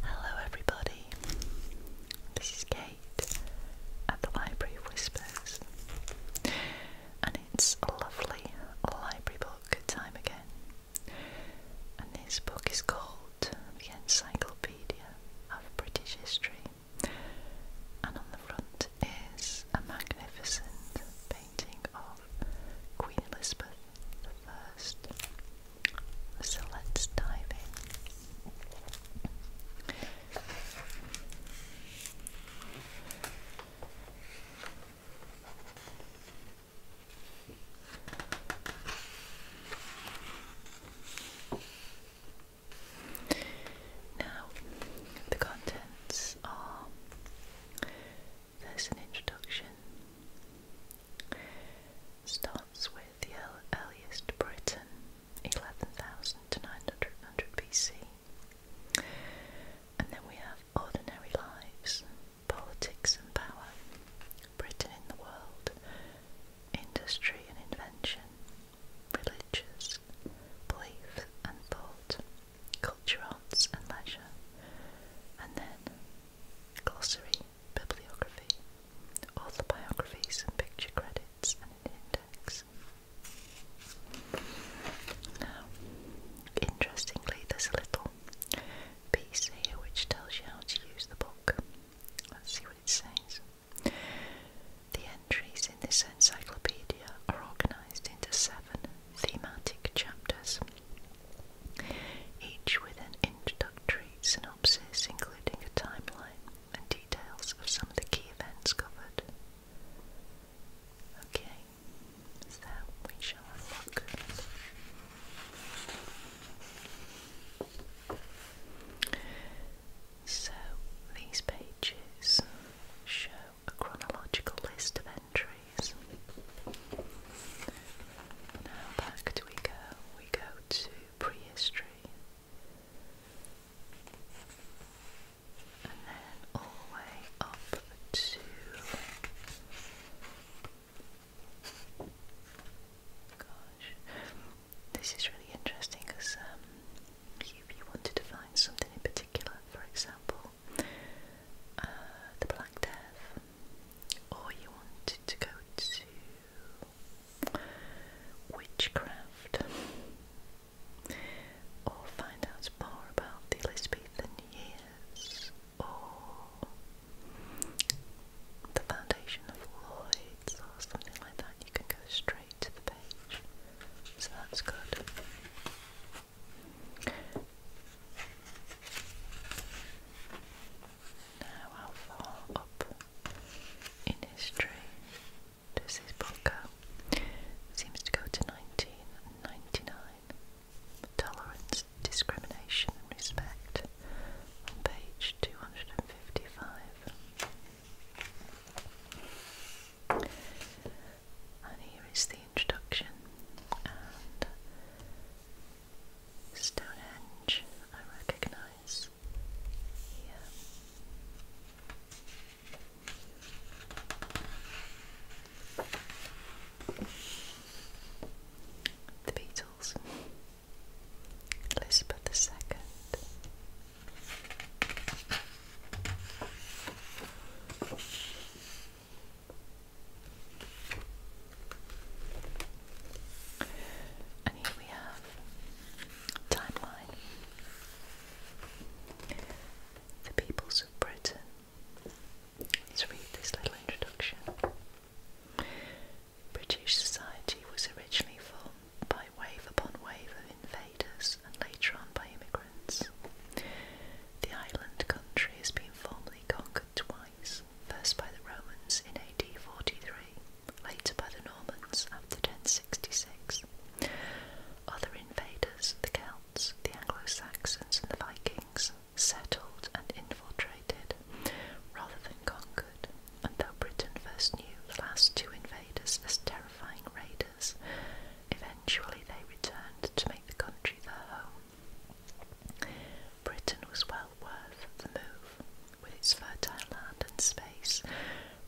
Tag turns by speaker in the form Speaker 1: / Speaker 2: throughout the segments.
Speaker 1: Hello, everybody. This is Kate at the Library of Whispers, and it's a lovely library book time again. And this book is called The Encyclopedia of British History, and on the front is a magnificent painting of Queen Elizabeth I. So let's dive in. Now, the contents are there's an introduction. Starts with the earliest Britain, 11,000 to 900 BC. And then we have ordinary lives, politics and power, Britain in the world, industry and invention, religious belief and thought, culture, arts and leisure, and then glossary, bibliography, author biographies and picture credits and an index. Now, interestingly, there's a little piece here which tells you how to use the book. Let's see what it says. The entries in this encyclopedia are organised into seven thematic chapters each with an introductory synopsis including a timeline and details of some of the key events covered. Okay, so we shall look. So these pages show a chronological list of entries. Now back do we go? We go to prehistory. And then all the way up to gosh, this is really interesting because um, you, you to find something in particular, for example, uh, the Black Death, or you wanted to go to witchcraft, or find out more about the Elizabethan years, or the foundation of Lloyd's, or something like that, you can go straight to the page. So that's good. Now, how up in history this book go? Seems to go to 1999. Tolerance, discrimination, respect. On page 255. And here is the introduction Stonehenge I recognise The Beatles, Elizabeth II. And here we have timeline. The peoples of Britain. Let's read this little introduction. British society was originally formed by wave upon wave of invaders and later on by immigrants. The island country has been formally conquered twice, first by the Romans in AD 43, later by the Normans after 1066. Other invaders, the Celts, the Anglo-Saxons and the Vikings, settled and infiltrated rather than conquered, and though Britain first knew the last two invaders as terrifying raiders, eventually they returned to make the country their home Britain was well worth the move, with its fertile land and space,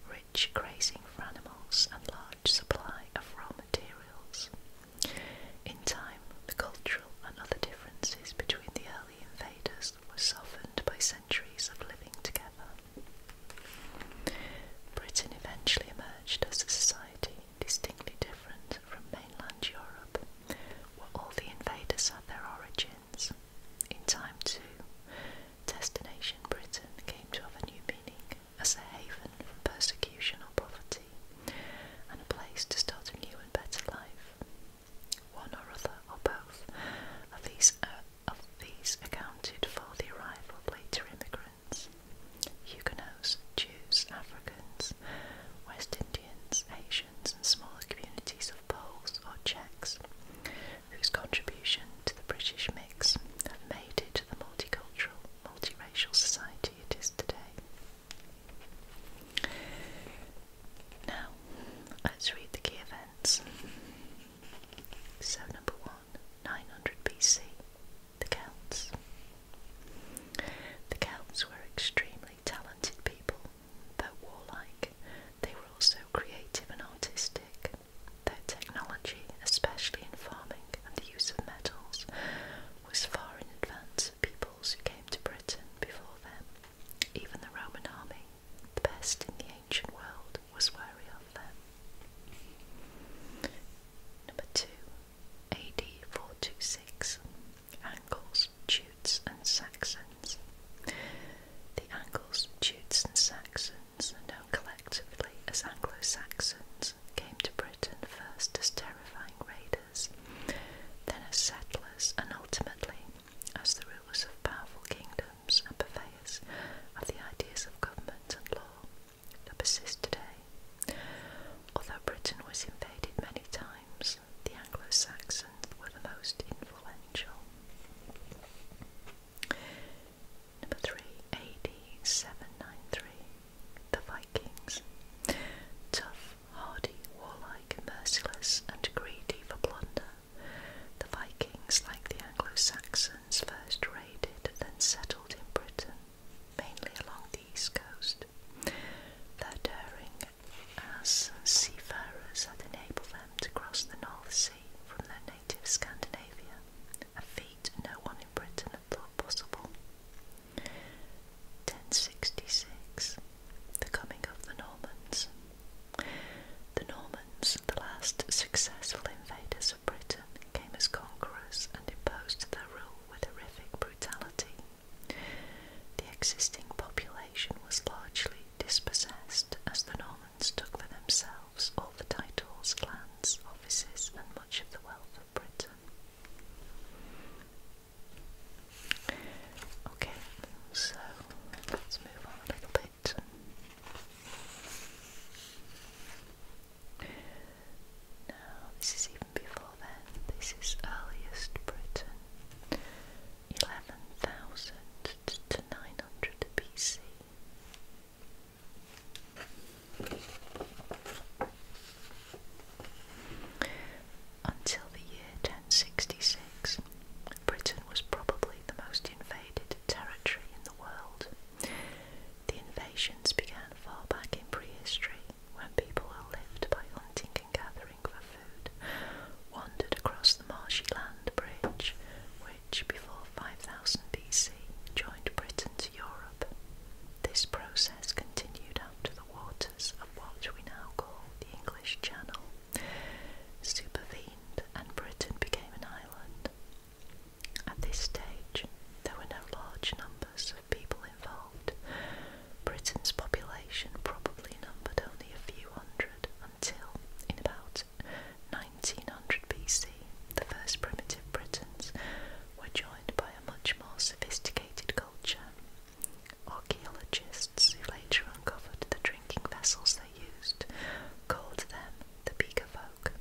Speaker 1: rich grazing for animals, and large supply of raw materials. In time, the cultural and other differences between the early invaders were softened by centuries of living together. Britain eventually emerged as a society distinctly different from mainland Europe, where all the invaders had their origins. In time, too, destination Britain came to have a new meaning as a haven from persecution or poverty, and a place to start a new and better life. One or other, or both, of these, uh, of these accounted for the arrival of later immigrants. Huguenots, Jews, Africans, West Indians, Asians, and smaller communities of Poles or Czechs, whose contribution to the British mix have made it the multicultural, multiracial society it is today. Now, let's read the key events. So, number one, 900 BC, the Celts. The Celts were extremely talented people, though warlike, they were also creative and artistic. Their technology, especially in farming and the use of metals, was far in advance of peoples who came to Britain before them. Even the Roman army, the best in the ancient world, was wary of them. Number two, AD 426, Angles, Jutes, and Saxons. The Angles, Jutes, and Saxons, known collectively as Anglo Saxons, came to Britain first as terrifying raiders, then as settlers, and ultimately as the rulers of powerful kingdoms and purveyors of the ideas of government and law. That persist today. Although Britain was invaded many times, the Anglo-Saxons were the most influential. Number 3. AD 793. The Vikings. Tough, hardy, warlike, merciless, and greedy for plunder, the Vikings, like the Anglo-Saxons, first raided, then settled in Britain mainly along the east coast. Their daring as seafarers had enabled them to cross the North Sea from their native Scandinavia, a feat no one in Britain had thought possible. 1066 The Coming of the Normans. The Normans, the last successful invaders of Britain, came as conquerors and imposed their rule with horrific brutality. The existing population was largely dispossessed as the Normans took for themselves all the titles, lands, offices, and much of the wealth of Britain. Okay, so let's move on a little bit this is even before then. This is earliest Britain, 11,000 to 900 BC. Until the year 1066, Britain was probably the most invaded territory in the world. The invasions began far back in prehistory when people were lived by hunting and gathering for food wandered across the marshy land bridge, which before 5000 BC joined Britain to Europe. This process continued up to the waters of what we now call the English Channel, supervened, and Britain became an island. At this stage, there were no large numbers of people involved. Britain's population probably numbered only a few hundred until, in about 1900 BC, the first primitive Britons were joined by a much more sophisticated culture. Archaeologists who later uncovered the drinking vessels they used called them the Beaker folk.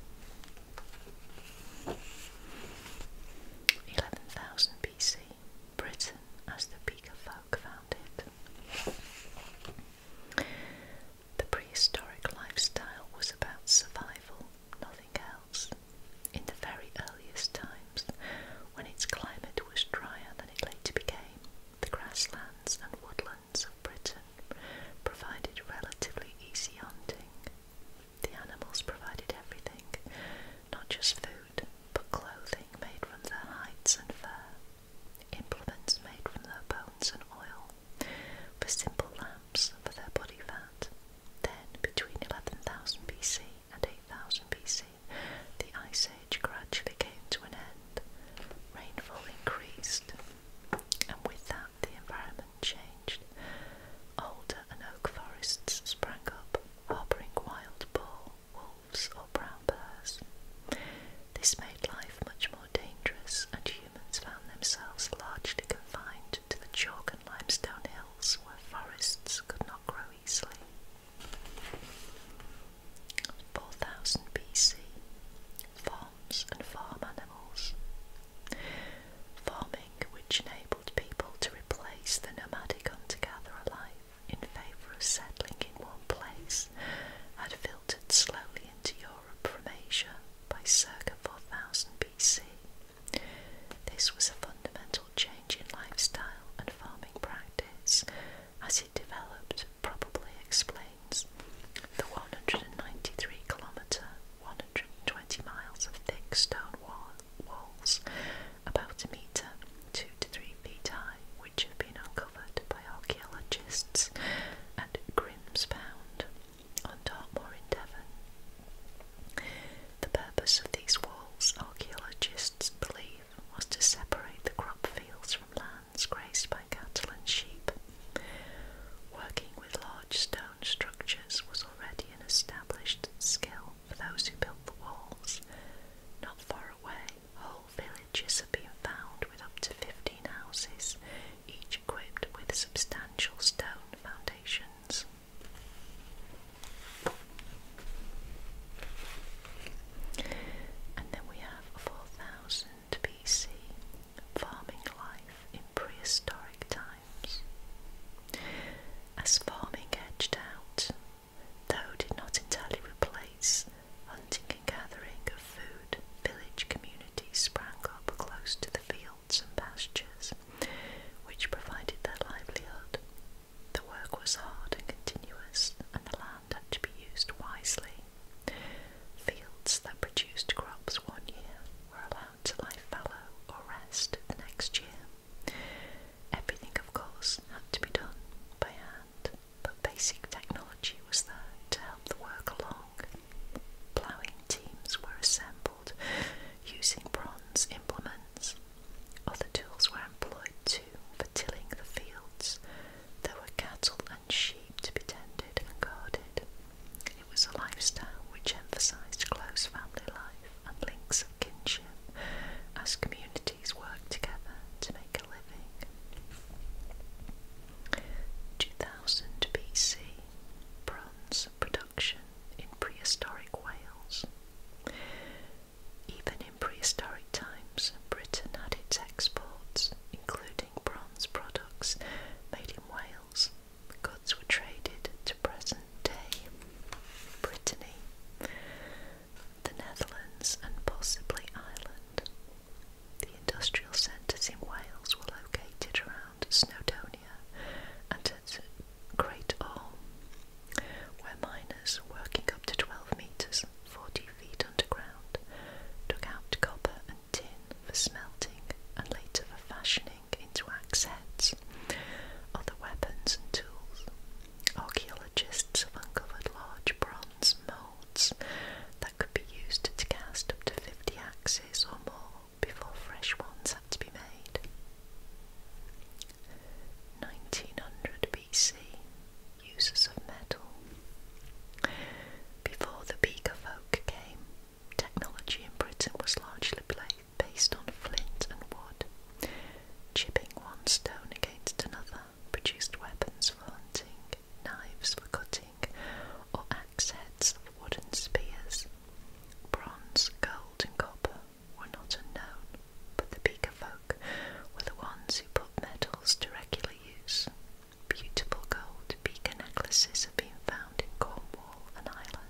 Speaker 1: 11,000 BC, Britain, as the Beaker folk found it. The prehistoric lifestyle was about survival, nothing else. In the very earliest times, when its climate was drier than it later became, the grasslands and woodlands of Britain provided relatively easy hunting. The animals provided everything, not just food, but clothing made from their hides and fur, implements made from their bones and oil, for simple lamps for their body fat. Then, between 11,000 BC and 8,000 BC, the Ice Age gradually came to an end. Rainfall increased, and with that, the environment changed. Older and oak forests sprang up, harbouring wild boar, wolves, or brown bears. This made life much more dangerous, and humans found themselves largely confined to the chalk and limestone hills where forests could not grow easily. 4000 BC Farms and farm animals farming which enabled people to replace the nomadic hunter-gatherer life in favour of settling in one place had filtered slowly into Europe from Asia by circa 4000 BC. This was a fundamental change in lifestyle and farming practice as it developed probably explains the 193 kilometre 120 miles of thick stone walls walls about a metre, two to three feet high, which have been uncovered by archaeologists at Grimspound on Dartmoor in Devon. The purpose of these walls, archaeologists believe, was to separate the crop fields from lands grazed by cattle and sheep. Working with large stone structures was already an established skill for those who built the walls. Not far away, whole villages have been found with up to 15 houses, each equipped with substantial stone foundations. And then we have 4000 BC farming life in prehistoric times. As farming edged out, though did not entirely replace hunting and gathering of food, village communities sprang up close to the fields and pastures, which provided their livelihood. The work was hard and continuous, and the land had to be used wisely. Fields that produced crops one year were allowed to lie fallow or rest the next year. Everything, of course, had to be done by hand, but basic technology was there to help the work along. Ploughing teams were assembled using bronze implements. Other tools were employed too for tilling the fields. There were cattle and sheep to be tended and guarded it was a lifestyle which emphasised close family life and links of kinship as communities worked together to make a living. 2000 BC Bronze production in prehistoric Wales. Even in prehistoric times, Britain had its exports, including bronze products made in Wales the goods were traded to present-day Brittany, the Netherlands and possibly Ireland. The industrial centres in Wales were located around Snowdonia and at Great Orme, where miners working up to 12 metres, 40 feet underground, took out copper and tin for smelting and later for fashioning into axes, other weapons and tools. Archaeologists have uncovered large bronze moulds that could be used to cast up to 50 axes or more before fresh ones had to be made. 1900 BC Uses of metal. Before the Beaker folk came, Technology in Britain was largely based on flint and wood. Chipping one stone against another produced weapons for hunting, knives for cutting, or axe heads of wooden spears. Bronze, gold, and copper were not unknown, but the Beaker folk were the ones who put metals to regular use. Beautiful gold beaker necklaces have been found in Cornwall and Ireland.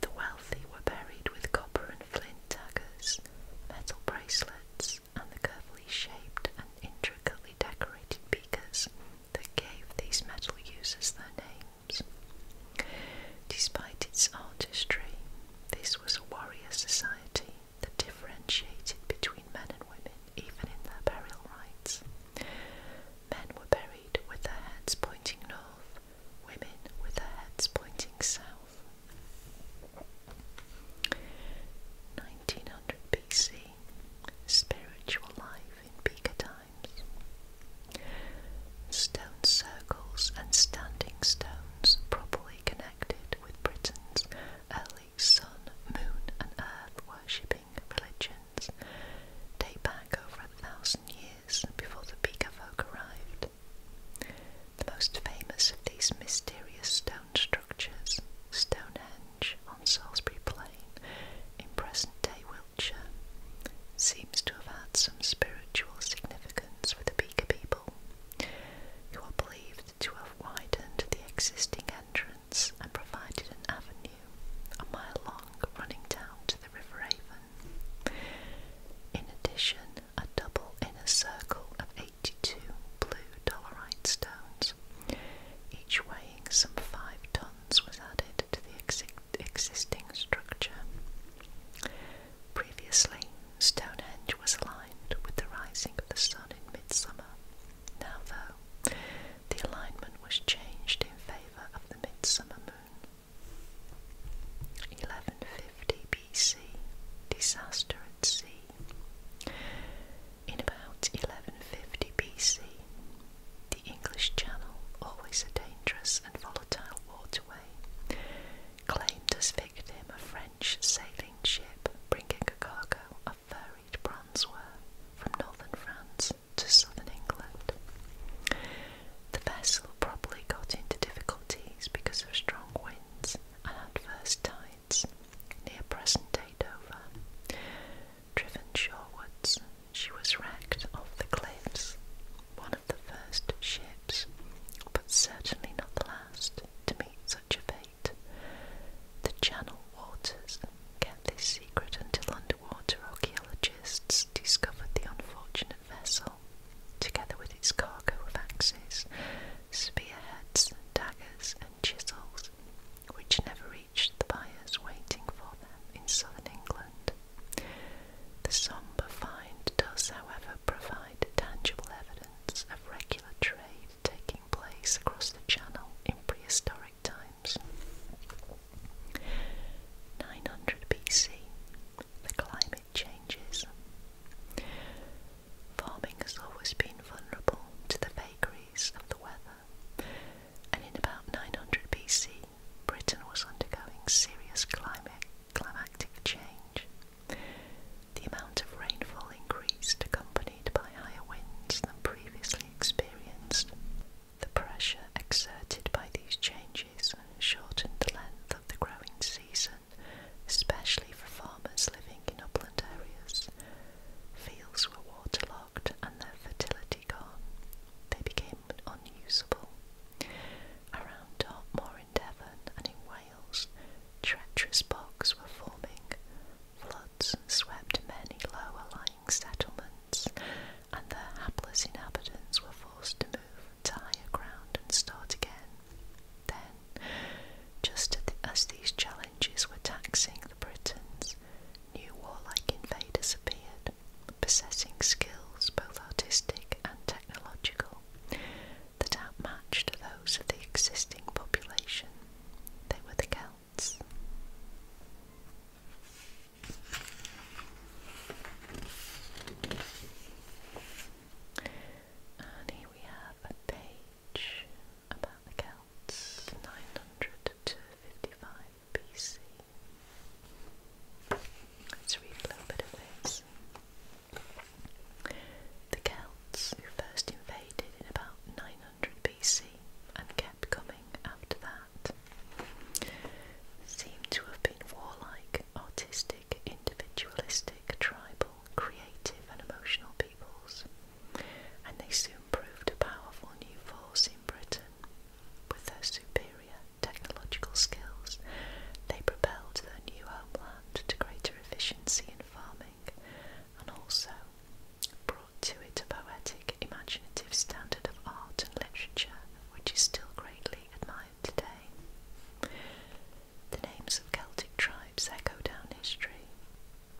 Speaker 1: The wealthy were buried with copper and flint daggers, metal bracelets, and the carefully shaped and intricately decorated beakers that gave these metal users their names. Despite its artistry, this was a warrior society that differentiated between men and women even in their burial rites. Men were buried with their heads pointing north, women with their heads pointing south. 1900 BC Spiritual life in Beaker times. Stone circles and standing stones properly connected with Britain's early sun, moon, and earth worshipping religion date back over a thousand years before the Pika folk arrived. The most famous of these mysterious stone structures, Stonehenge on Salisbury Plain in present day Wiltshire, seems to have had some spiritual significance for the Beaker people, who are believed to have widened the existing entrance and provided an avenue a mile long, running down to the River Avon. In addition, a double inner circle of 82 blue dolerite stones, each weighing some 5 tons, was added to the existing structure. Previously, Stonehenge was aligned with the rising of the sun in midsummer. Now, though, the alignment was changed in favour of the midsummer 1150 BC, disaster at sea. In about 1150 BC, the English Channel, always a dangerous and volatile waterway, claimed as victim a French sailing ship bringing a cargo of varied bronzeware from northern France to southern England. The vessel probably got into difficulties because of strong winds and adverse tides near present day Dover. Driven shorewards, she was wrecked off the cliffs, one of the first ships, but certainly not the last, to meet such a fate. The channel waters kept this secret until underwater archaeologists discovered the unfortunate vessel, together with its cargo of axes, spearheads, daggers, and chisels, which never reached the buyers waiting for them in southern England. The sombre find does, however, provide tangible evidence of regular trade taking place across the channel in prehistoric times. 900 BC, the climate changes. Farming has always been vulnerable to the vagaries of the weather, and in about 900 BC, Britain was undergoing serious climatic change. The amount of rainfall increased, accompanied by higher winds than previously experienced. The pressure exerted by these changes shortened the length of the growing season, especially for farmers living in upland areas. Fields were waterlogged and their fertility gone. They became unusable. Around Dartmoor in Devon and in Wales, treacherous bogs were forming. Floods swept many lower lying settlements, and the hapless inhabitants were forced to move to higher ground and start again. Then, just as these challenges were taxing the Britons, new warlike invaders appeared, possessing skills both artistic and technological that outmatched those of the existing population. They were the Celts. And here we have a page about the Celts, 900 to 55 BC. Let's read a little bit of this. The Celts, who first invaded in about 900 BC and kept coming, after that seem to have been warlike, artistic, individualistic, tribal, creative, and emotional peoples, and they soon proved a powerful new force in Britain. With their superior technological skills, they propelled their new homeland to greater efficiency in farming and also to it a poetic, imaginative standard of art and literature which is still greatly admired today. The names of Celtic tribes echo down history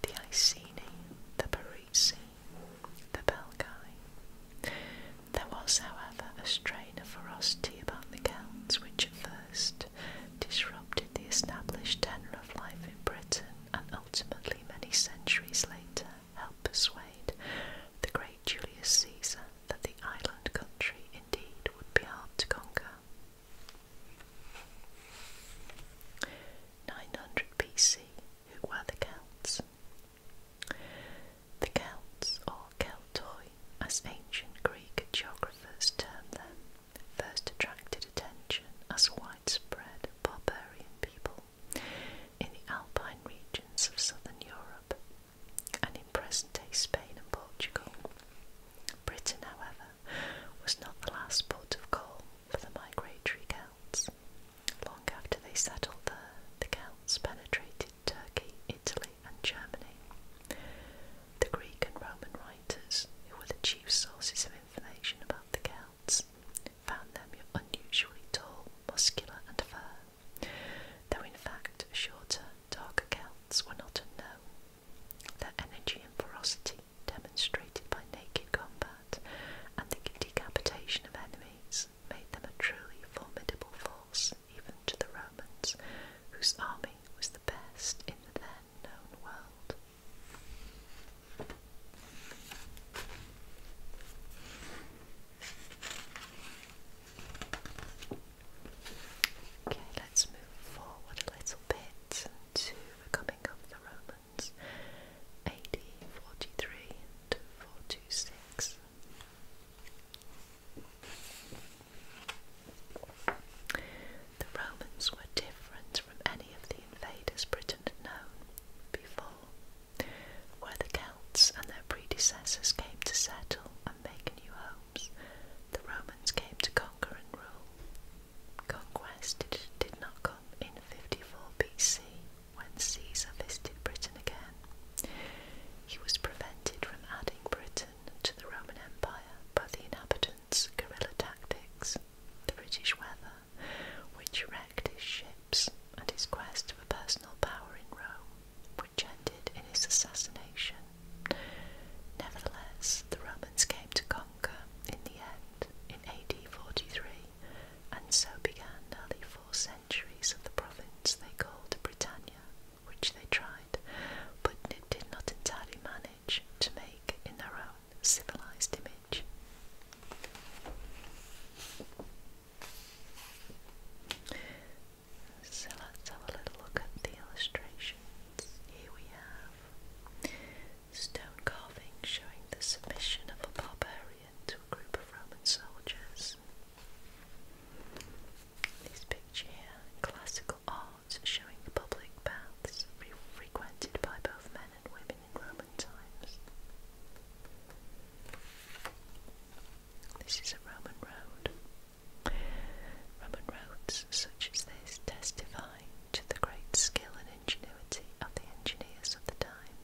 Speaker 1: the Iceni, the Parisi, the Belgae. There was, however, a strain of ferocity about the Celts which at first disrupted the established tenor of life in Britain and ultimately many centuries later help persuade the great Julius Caesar that the island country indeed would be hard to conquer. 900 BC, who were the Celts? The Celts, or Celtoi, as ancient Greek geographers term them, first attracted attention as widespread barbarian people in the alpine regions of southern Europe and in present day Spain and Portugal. Britain, however, was not the last port of call for the migratory Celts. Long after they settled there, the Celts penetrated Turkey, Italy, and Germany. The Greek and Roman writers, who were the chief sources of information about the Celts, cats, found them unusually tall, muscular, and fair, though in fact shorter, darker Celts were not unknown. Their energy and ferocity, demonstrated by naked combat and the decapitation of enemies, made them a truly formidable force even to the Romans, whose army was the best in the then known world. Okay, let's move forward a little bit to coming of the Romans, AD 43 to 426. The Romans were different from any of the invaders Britain had known before where the Celts and their predecessors came to settle and make new homes, the Romans came to conquer and rule. Conquest did, did not come in 54 BC when Caesar visited Britain again. He was prevented from adding Britain to the Roman Empire by the inhabitants' guerrilla tactics, the British weather, which wrecked his ships and his quest for personal power in Rome, which ended in his assassination. Nevertheless, the Romans came to conquer in the end in AD 43, and so began nearly four centuries of the province they called Britannia, which they tried, but it did not entirely manage to make in their own civilized image. So let's have a little look at the illustrations. Here we have stone carving showing the submission of a barbarian to a group of Roman soldiers. These pictures here, classical art showing the public baths frequented by both men and women Clement times. This is a Roman road. Roman roads such as this testify to the great skill and ingenuity of the engineers of the time.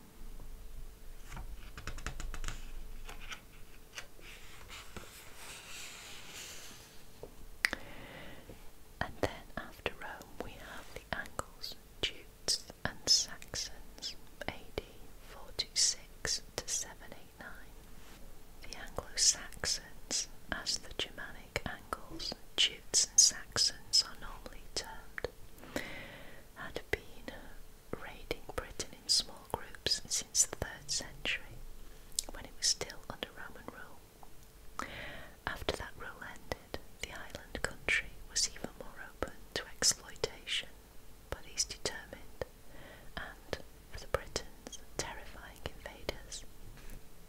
Speaker 1: And then after Rome, we have the Angles, due and Saxons AD 426 to 789. The Anglo Saxons, as the Germanic Angles, Jutes and Saxons are normally termed, had been raiding Britain in small groups since the 3rd century, when it was still under Roman rule. After that rule ended, the island country was even more open to exploitation, but these determined and, for the Britons, terrifying invaders.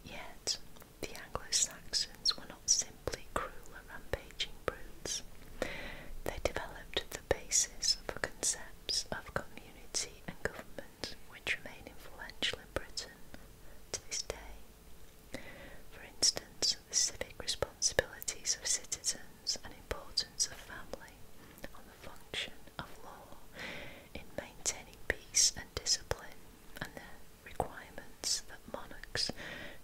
Speaker 1: Yet, the Anglo Saxons were not simply cruel and rampaging brutes, they developed the basis for concepts of community and government which remain influential in Britain to this day. For instance, the civic responsibilities of citizens and importance of family on the function of law in maintaining peace and discipline and the requirements that monarchs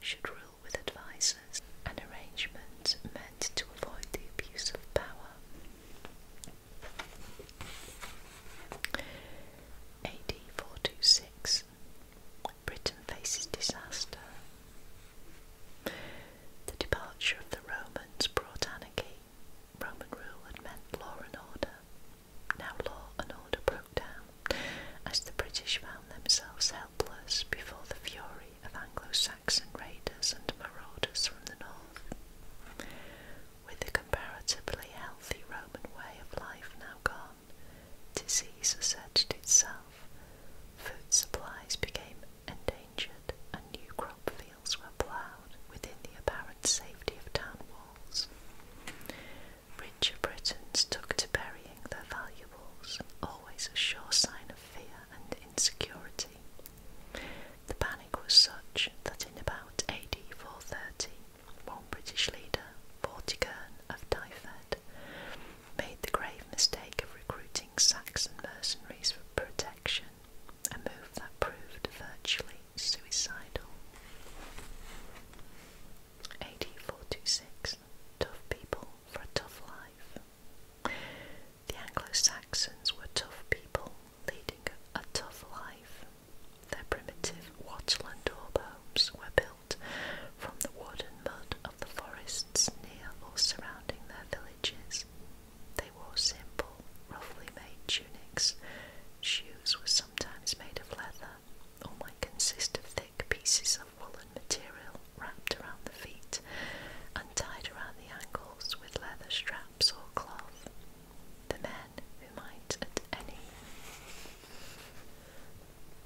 Speaker 1: should rule with advisers, an arrangement meant to avoid the abuse of power. AD 426 Britain faces disaster. The departure of the Romans brought anarchy. Roman rule had meant law and order. Now law and order broke down as the British found themselves helpless before the fury of Anglo-Saxon raiders and marauders from the north. With the comparatively healthy Roman way of life now gone, disease asserted itself, food supplies became endangered, and new crop fields were ploughed within the apparent safety of town walls. Richer Britons took to burying their valuables, always a sure sign of fear and insecurity. The panic was such that in about AD 430, one British leader, Vortigern of Dyfed, made the grave mistake of recruiting Saxon mercenaries for protection, a move that proved virtually suicidal. 18426 Tough people for a tough life. The Anglo Saxons were tough people leading a tough life. Their primitive watchland homes were built from the wood and mud of the forests near or surrounding their villages. They wore simple, roughly made tunics. Shoes were sometimes made of leather, or might consist of thick pieces of woolen material wrapped around the feet and tied around the ankles with leather straps or cloth. The men who might at any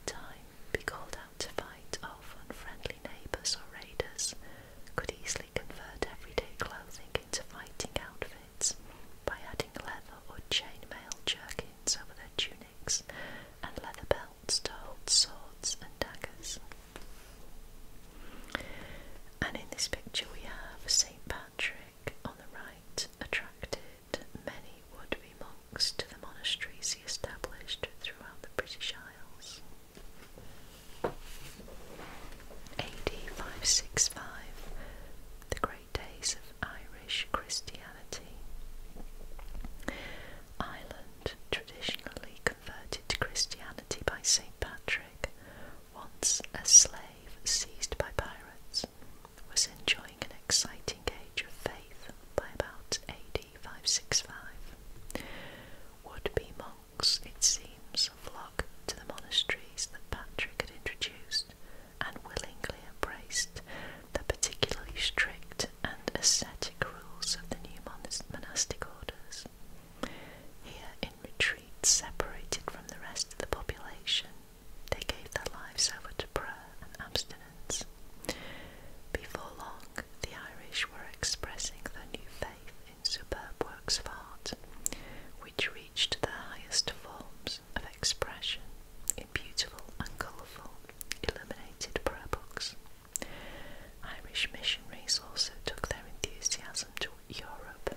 Speaker 1: time, be called out to fight off unfriendly neighbours or raiders, could easily convert everyday clothing into fighting outfits by adding leather or chainmail jerkins over their tunics and leather belts to hold swords and daggers. And in this picture we have St. Patrick on the right, attractive many would-be monks to the monasteries he established throughout the British Isles. AD 565, the great days of Irish Christianity. Ireland, traditionally converted to Christianity by St. Patrick, once a slave seized by pirates, was enjoying an exciting age of faith by about AD would be monks, it seems, flock to the monasteries that Patrick had introduced and willingly embraced the particularly strict and ascetic rules of the new monastic orders. Here, in retreat, separated from the rest of the population, they gave their lives over to prayer and abstinence. Before long, the Irish were expressing their new faith in superb works of art, which reached their highest forms of expression in beautiful and colourful, illuminated prayer books. Irish missionaries also took their enthusiasm to Europe,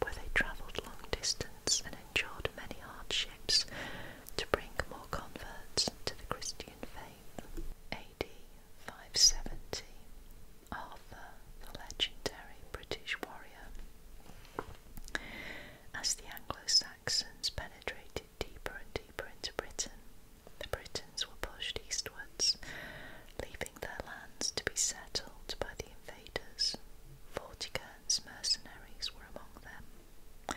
Speaker 1: where they travelled long distance and endured many hardships to bring more converts to the Christian faith. AD 570, Arthur, the legendary British warrior. As the Anglo Saxons penetrated deeper and deeper into Britain, the Britons were pushed eastwards, leaving their lands to be settled by the invaders. Vortigern's mercenaries were among them.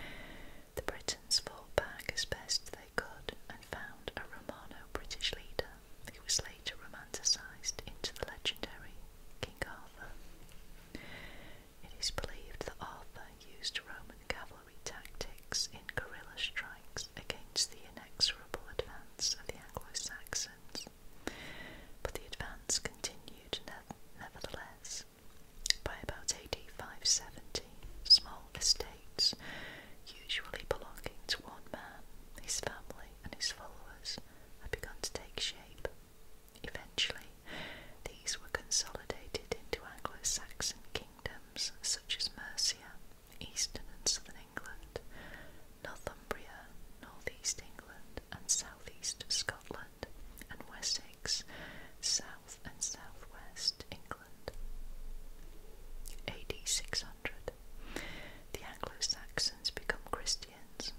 Speaker 1: The Britons Britons back as best they could and found a Romano British leader who was later romanticised into the legendary King Arthur. It is believed that Arthur used Roman cavalry tactics in guerrilla strikes against the inexorable advance of the Anglo Saxons, but the advance continued nevertheless. By about AD 570, small estates, usually belonging to one man, his family, and his followers, had begun to take shape. Eventually, these were consolidated into Anglo Saxon kingdoms such as Mercia, eastern and southern England, Northumbria, northeast England, and southeast Scotland. Scotland and Wessex, South and Southwest England. AD 600. The Anglo Saxons become Christians.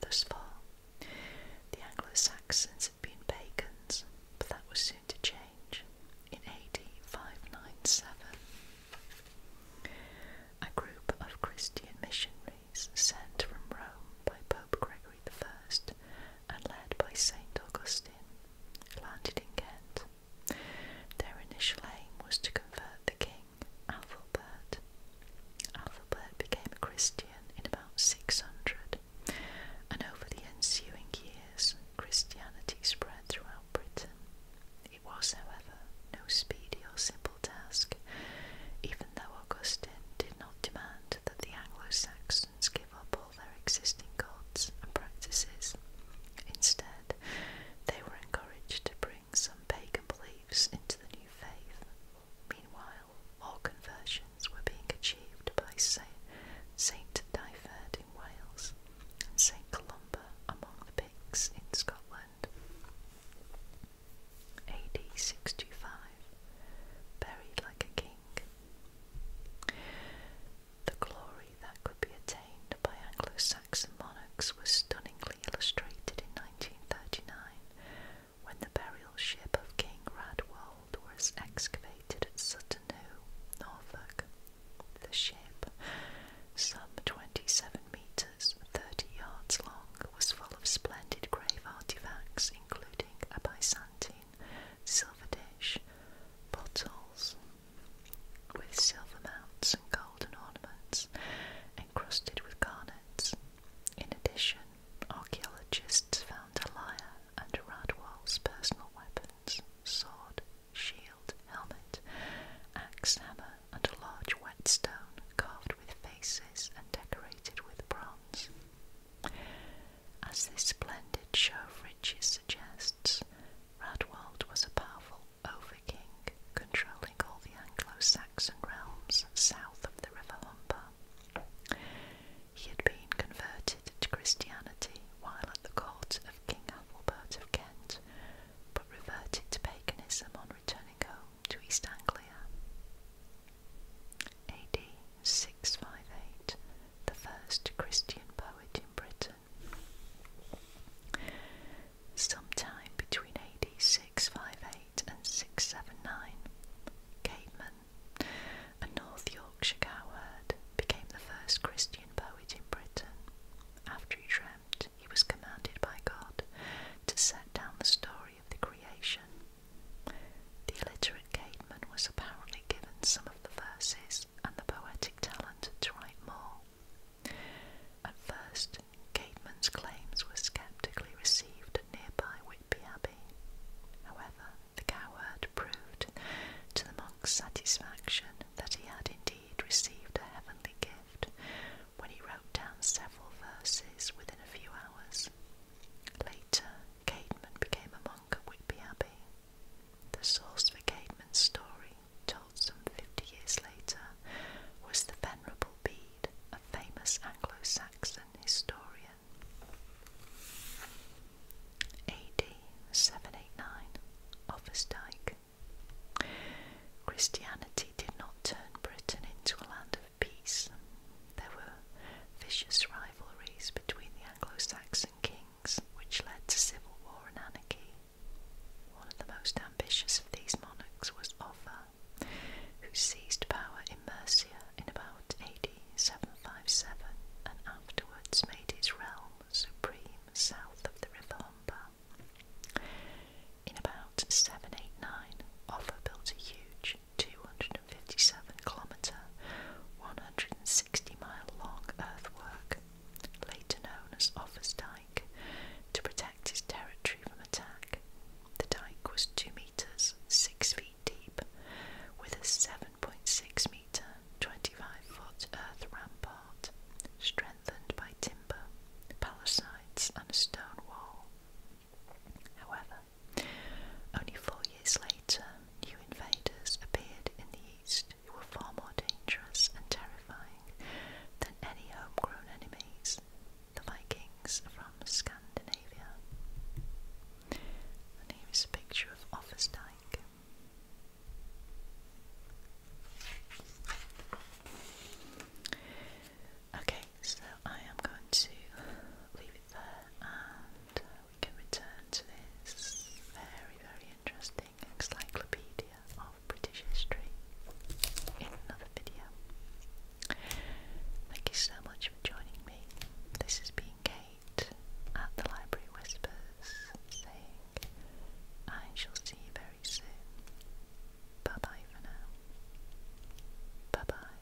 Speaker 1: Thus far, the Anglo Saxons had been pagans, but that was soon to change in AD 597. A group of Christian missionaries sent from Rome by Pope Gregory the First and led by St. Augustine, landed in Kent. Their initial aim was to convert the king, Alfred. Alfred became a Christian in about 600, and over the ensuing years, Christianity spread throughout Britain. It was, however, no speedy or simple task, even though Augustine did not demand that the Anglo Saxons give up all their existing gods and practices. Instead, they were encouraged to bring some pagan beliefs into the new faith. Meanwhile, more conversions were being achieved by Saint Dyfed in Wales and Saint Columba among the Picts in Scotland. AD 625, buried like a king the glory that could be attained by Anglo Saxon monarchs was stunningly illustrated in 1939 when the burial ship of King Radwold was excavated at Sutton Hoo, Norfolk. The ship, some 27 metres, 30 yards long, was full of splendid grave artefacts, including a Byzantine silver dish, bottles with silver mounts and golden ornaments encrusted with garnets. In addition, archaeologists found a lyre and Radwall's personal weapons, sword, shield, helmet, axe, hammer, and a large whetstone carved with faces and decorated with bronze. As this splendid show of riches suggests, Radwald was a powerful overking controlling all the Anglo-Saxon realms south of the River Humber. He had been converted to Christianity while at the court of King Ethelbert of Kent, but reverted to paganism on returning home to East Anglia. AD 658, the first Christian poet in Britain. Sometime between AD 658 and 679, Capeman, a North Yorkshire cowherd, became the first Christian poet in Britain. After he dreamt, he was commanded by God to set down the story of the creation the illiterate Cademan was apparently given some of the verses and the poetic talent to write more. At first, Cademan's claims were sceptically received at nearby Whitby Abbey. However, the cowherd proved to the monk's satisfaction that he had indeed received a heavenly gift when he wrote down several verses within a few hours. Later, Caedmon became a monk at Whitby Abbey. The source for Caedmon's story, told some fifty years later, was the Venerable Bede, a famous Anglo-Saxon historian. AD 789, Offansdyke. Christianity did not turn Britain into a land of peace. There were vicious rivalries between the Anglo Saxon kings, which led to civil war and anarchy. One of the most ambitious of these monarchs was Offa, who seized power in Mercia in about AD 757 and afterwards made his realm supreme south of the river Humber. In about 789, Offa built a huge 257 kilometre, 160 mile long earthwork, later known as Offa's Dyke, to protect his territory from attack. The dyke was 2 metres, 6 feet deep, with a 7.6 metre, 25 foot earth rampart, strengthened by timber, palisades, and a stone wall. However, only four years later, new invaders appeared in the east who were far more dangerous and terrifying than any homegrown enemies, the Vikings from Scandinavia. here is a picture of Offersdyke. Okay, so I am going to leave it there and uh, we can return to this very, very interesting encyclopedia of British history in another video. Thank you so much for joining me. This has been Kate at the Library Whispers saying, I shall see you very soon. Bye bye for now. Bye bye.